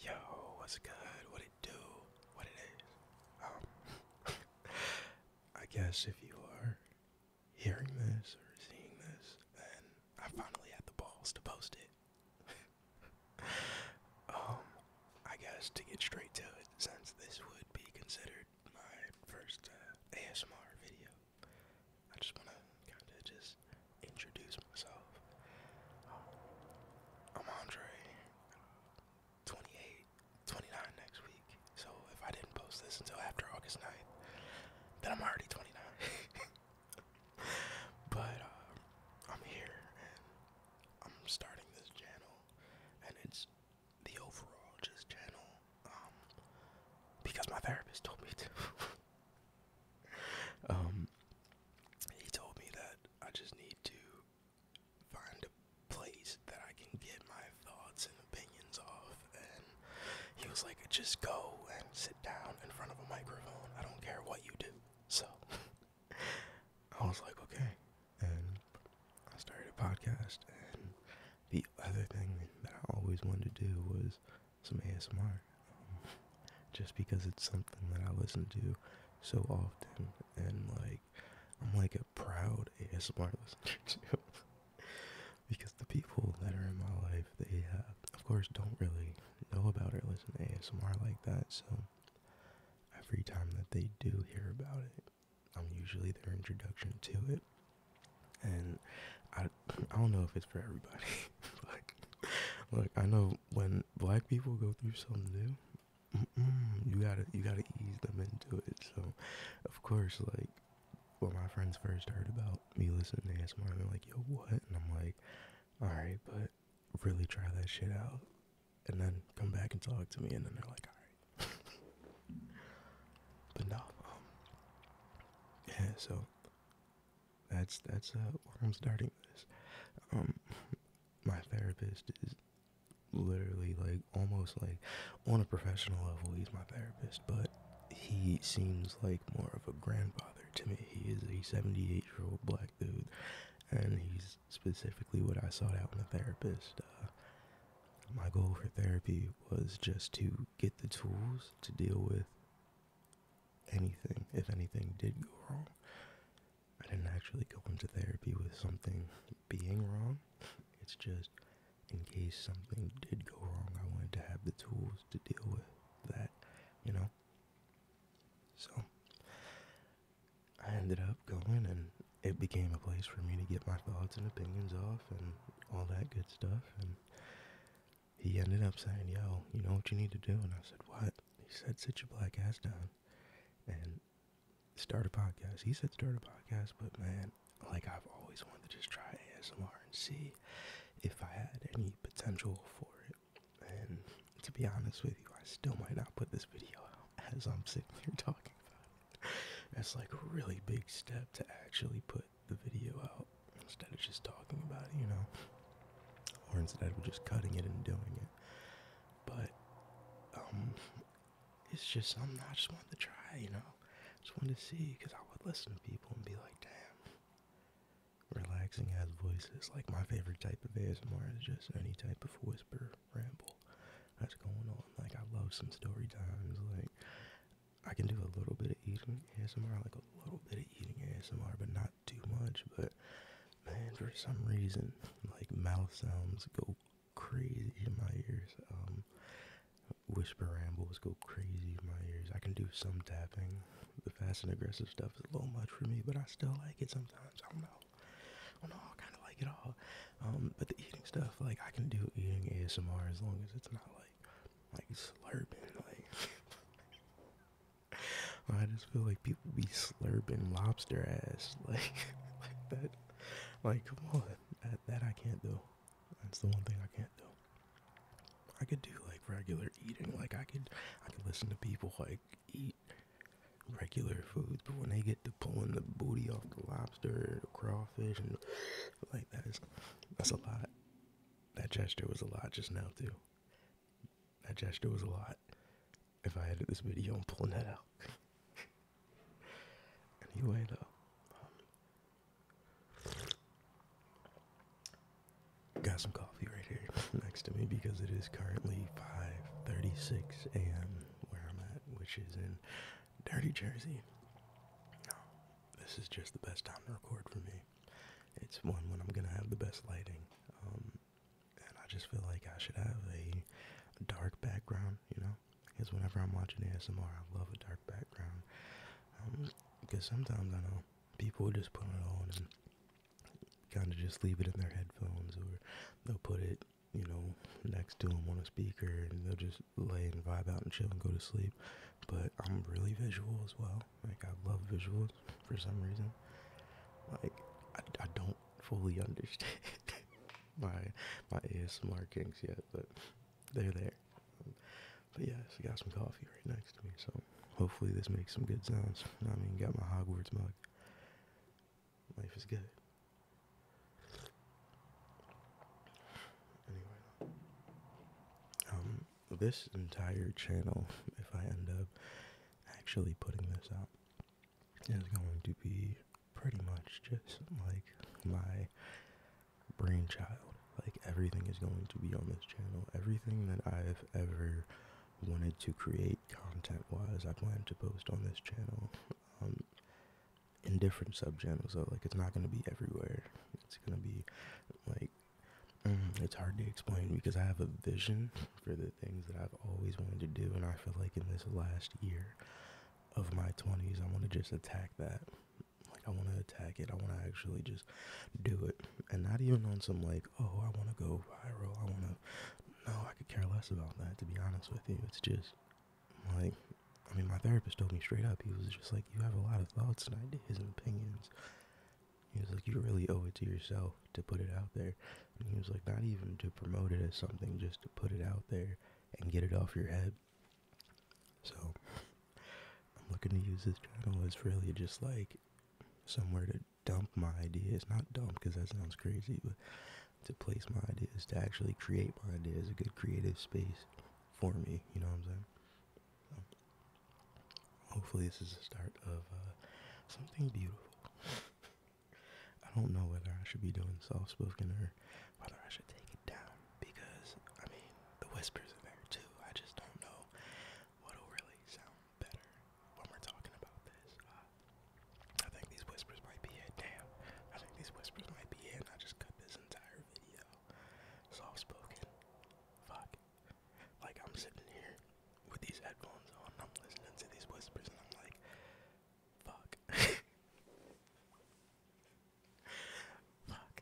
Yo, what's good? What it do? What it is? Um, I guess if you are hearing this or seeing this, then I finally had the balls to post it. um, I guess to get straight to it, since this would be considered my first uh, ASMR video, I just wanna kinda just introduce myself. Um, I'm Andre, 28, 29 next week. So if I didn't post this until after August 9th, then I'm already 29. but uh, I'm here and I'm starting this channel, and it's the overall just channel um, because my therapist told me to. Um, he told me that I just need to find a place that I can get my thoughts and opinions off. And he was like, just go and sit down in front of a microphone. I don't care what you do. So I was like, okay. And I started a podcast. And the other thing that I always wanted to do was some ASMR. Um, just because it's something that I listen to so often and like I'm like a proud ASMR listener too. because the people that are in my life, they uh, of course don't really know about or listen to ASMR like that. So every time that they do hear about it, I'm usually their introduction to it. And I, I don't know if it's for everybody, but like I know when black people go through something new, you gotta you gotta ease them into it. So, of course, like when my friends first heard about me listening to ASMR, they're like, "Yo, what?" And I'm like, "All right, but really try that shit out, and then come back and talk to me." And then they're like, "All right." but no, um, yeah. So that's that's uh, where I'm starting this. Um, my therapist is literally like almost like on a professional level. He's my therapist, but he seems like more of a grandfather to me. He is a 78 year old black dude, and he's specifically what I sought out in a therapist. Uh, my goal for therapy was just to get the tools to deal with anything, if anything did go wrong, I didn't actually go into therapy with something being wrong. It's just in case something did go wrong, I wanted to have the tools to deal with that, you know? So I ended up going and it became a place for me to get my thoughts and opinions off and all that good stuff. And he ended up saying, Yo, you know what you need to do? And I said, What? He said, Sit your black ass down and start a podcast. He said, Start a podcast, but man, like I've always wanted to just try ASMR and see if I had any potential for it. And to be honest with you, I still might not put this video out as I'm sitting here talking about it. That's like a really big step to actually put the video out instead of just talking about it, you know or instead we're just cutting it and doing it. But um, it's just something I just wanted to try, you know. Just wanted to see because I would listen to people and be like, damn, relaxing has voices. Like my favorite type of ASMR is just any type of whisper ramble that's going on. Like I love some story times. Like I can do a little bit of eating ASMR, like a little bit of eating ASMR, but not too much, but man, for some reason, like mouth sounds go crazy in my ears. Um, whisper rambles go crazy in my ears. I can do some tapping. The fast and aggressive stuff is a little much for me, but I still like it sometimes. I don't know. I don't know. I kind of like it all. Um, but the eating stuff, like I can do eating ASMR as long as it's not like like slurping, like. I just feel like people be slurping lobster ass like like that. Like come on, that, I can't do. That's the one thing I can't do. I could do like regular eating. Like I could I could listen to people like eat regular foods, but when they get to pulling the booty off the lobster, the crawfish, and like that is that's a lot. That gesture was a lot just now too. That gesture was a lot. If I edit this video, I'm pulling that out. anyway, though. Um, got some coffee right here next to me because it is currently 5:36 a.m. where I'm at, which is in Dirty Jersey. this is just the best time to record for me. It's one when I'm gonna have the best lighting. Um, and I just feel like I should have a dark background, you know, because whenever I'm watching ASMR, I love a dark background, because um, sometimes I know people just put it on and kind of just leave it in their headphones, or they'll put it, you know, next to them on a speaker, and they'll just lay and vibe out and chill and go to sleep, but I'm really visual as well, like I love visuals for some reason. Like I, I don't fully understand my my ASMR kinks yet, but they're there. But yeah, I got some coffee right next to me, so hopefully this makes some good sounds. I mean, got my Hogwarts mug. Life is good. Anyway, um, this entire channel, if I end up actually putting this out is going to be pretty much just like my brainchild. Like everything is going to be on this channel. Everything that I've ever wanted to create content wise, I plan to post on this channel. Um, in different subchannels. channels like it's not gonna be everywhere. It's gonna be like Mm, it's hard to explain because I have a vision for the things that I've always wanted to do, and I feel like in this last year of my 20s, I want to just attack that. Like, I want to attack it. I want to actually just do it. And not even on some, like, oh, I want to go viral. I want to. No, I could care less about that, to be honest with you. It's just, like, I mean, my therapist told me straight up, he was just like, you have a lot of thoughts and ideas and opinions he was like, you really owe it to yourself to put it out there. And he was like, not even to promote it as something, just to put it out there and get it off your head. So I'm looking to use this channel as really just like somewhere to dump my ideas. Not dump because that sounds crazy, but to place my ideas, to actually create my ideas, a good creative space for me. You know what I'm saying? Hopefully, this is the start of uh, something beautiful. I don't know whether I should be doing soft spoken or whether I should take it down because, I mean, the whispers are there too. I just don't know what'll really sound better when we're talking about this. Uh, I think these whispers might be it. Damn. I think these whispers might be it, and I just cut this entire video. Soft spoken. Fuck. Like I'm sitting here with these headphones on, I'm listening to these whispers, and I'm like, fuck. fuck.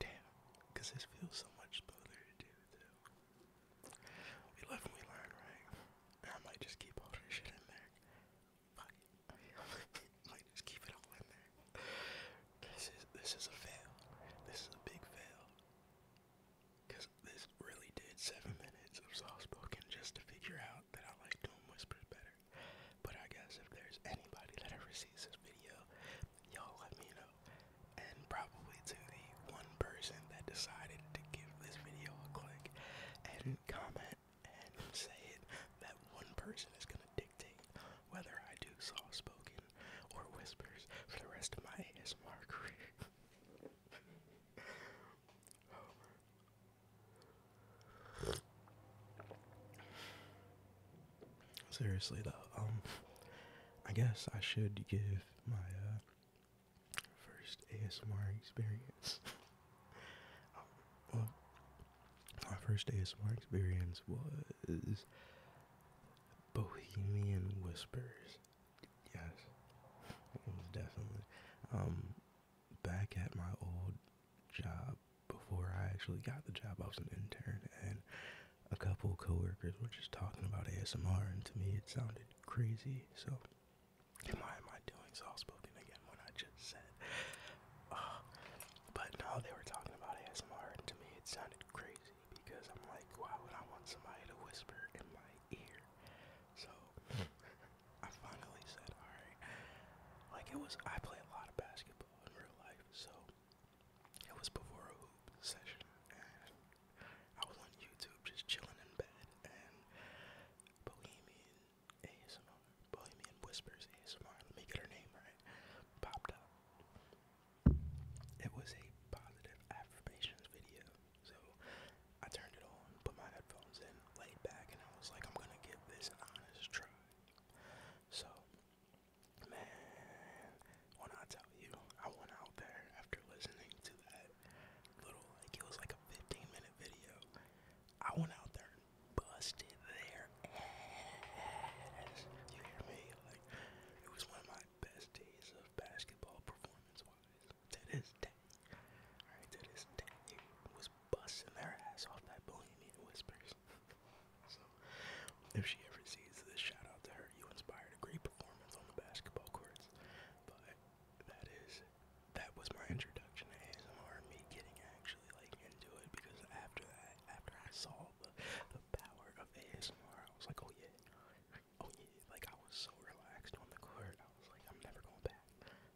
Damn. Cause this feels so much better to do too. We live we learn, right? I might just keep all this shit in there. Fuck might just keep it all in there. This is this is a fail. This is a big fail. Because this really did seven minutes of soft spoken just to figure out that I like doing whispers better. But I guess if there's anybody that ever sees this video, y'all let me know. And probably to the one person that decided to give this video a click and comment and say it, that one person is going to dictate whether I do soft spoken or whispers for the rest of my ASMR career. Seriously though, um, I guess I should give my uh, first ASMR experience. um, well, my first ASMR experience was Bohemian Whispers. Yes, it was definitely. Um, back at my old job before I actually got the job, I was an intern, and a couple coworkers were just talking about ASMR, and to me it sounded crazy. So, am I am I doing soft spoken again? When I just said, uh, but no, they were talking about ASMR, and to me it sounded crazy because I'm like, why would I want somebody to whisper in my so hmm. I finally said, alright. Like it was I play a lot of basketball in real life, so it was before a hoop session and I was on YouTube just chilling in bed and Bohemian ASMR, Bohemian Whispers ASMR, let me get her name right, popped up it was a positive affirmations video. So I turned it on, put my headphones in, laid back, and I was like, I'm gonna give this honest try. So, man, when I tell you, I went out there after listening to that little, like, it was like a 15 minute video. I went out there and busted their ass. You hear me? Like, it was one of my best days of basketball performance to this day. Alright, to this day, was busting their ass off that Bohemian Whispers. so, if she ever sees this, shout out to her. You inspired a great performance on the basketball courts. But that is, that was my introduction to ASMR, me getting actually like into it because after that, after I saw the, the power of ASMR, I was like, oh yeah, oh yeah, like I was so relaxed on the court. I was like, I'm never going back.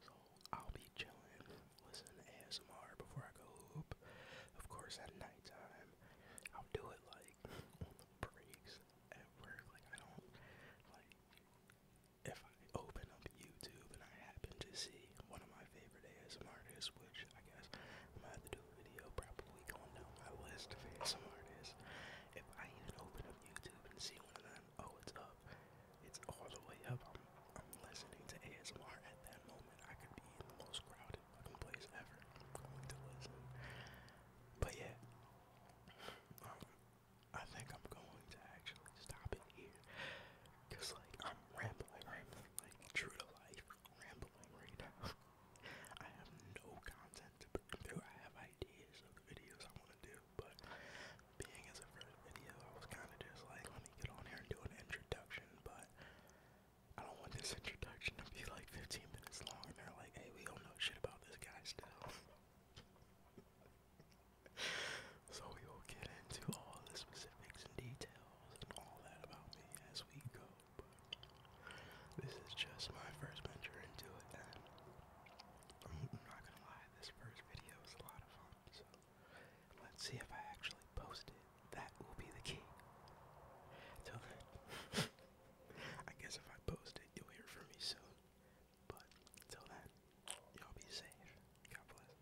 So I'll be chilling, listen to ASMR before I go hoop. Of course, at nighttime, I'll do it like on the breaks at work. Like I don't like if I open up YouTube and I happen to see one of my favorite ASMR artists, which I guess I'm gonna have to do a video probably gonna know how West ASMR If I even open up YouTube and see one of them, oh, it's up. It's all the way up. I'm, listening to ASMR at that moment. I could be in the most crowded fucking place ever. am going to listen. But yeah, um, I think I'm going to actually stop it here. Cause like I'm rambling, rambling, like true to life, rambling right now. I have no content to do. I have ideas of the videos I want to do, but being as a first video, I was kind of just like, let me get on here and do an introduction, but I don't want this introduction to be like 15 minutes long and they're like, hey, we don't know shit about this guy still. so we will get into all the specifics and details and all that about me as we go, but this is just my first venture into it, and I'm not gonna lie, this first video was a lot of fun, so let's see if I actually post it. That will be the key. Till then, I guess if I post it, you'll hear from me soon. But till then, y'all be safe. God bless.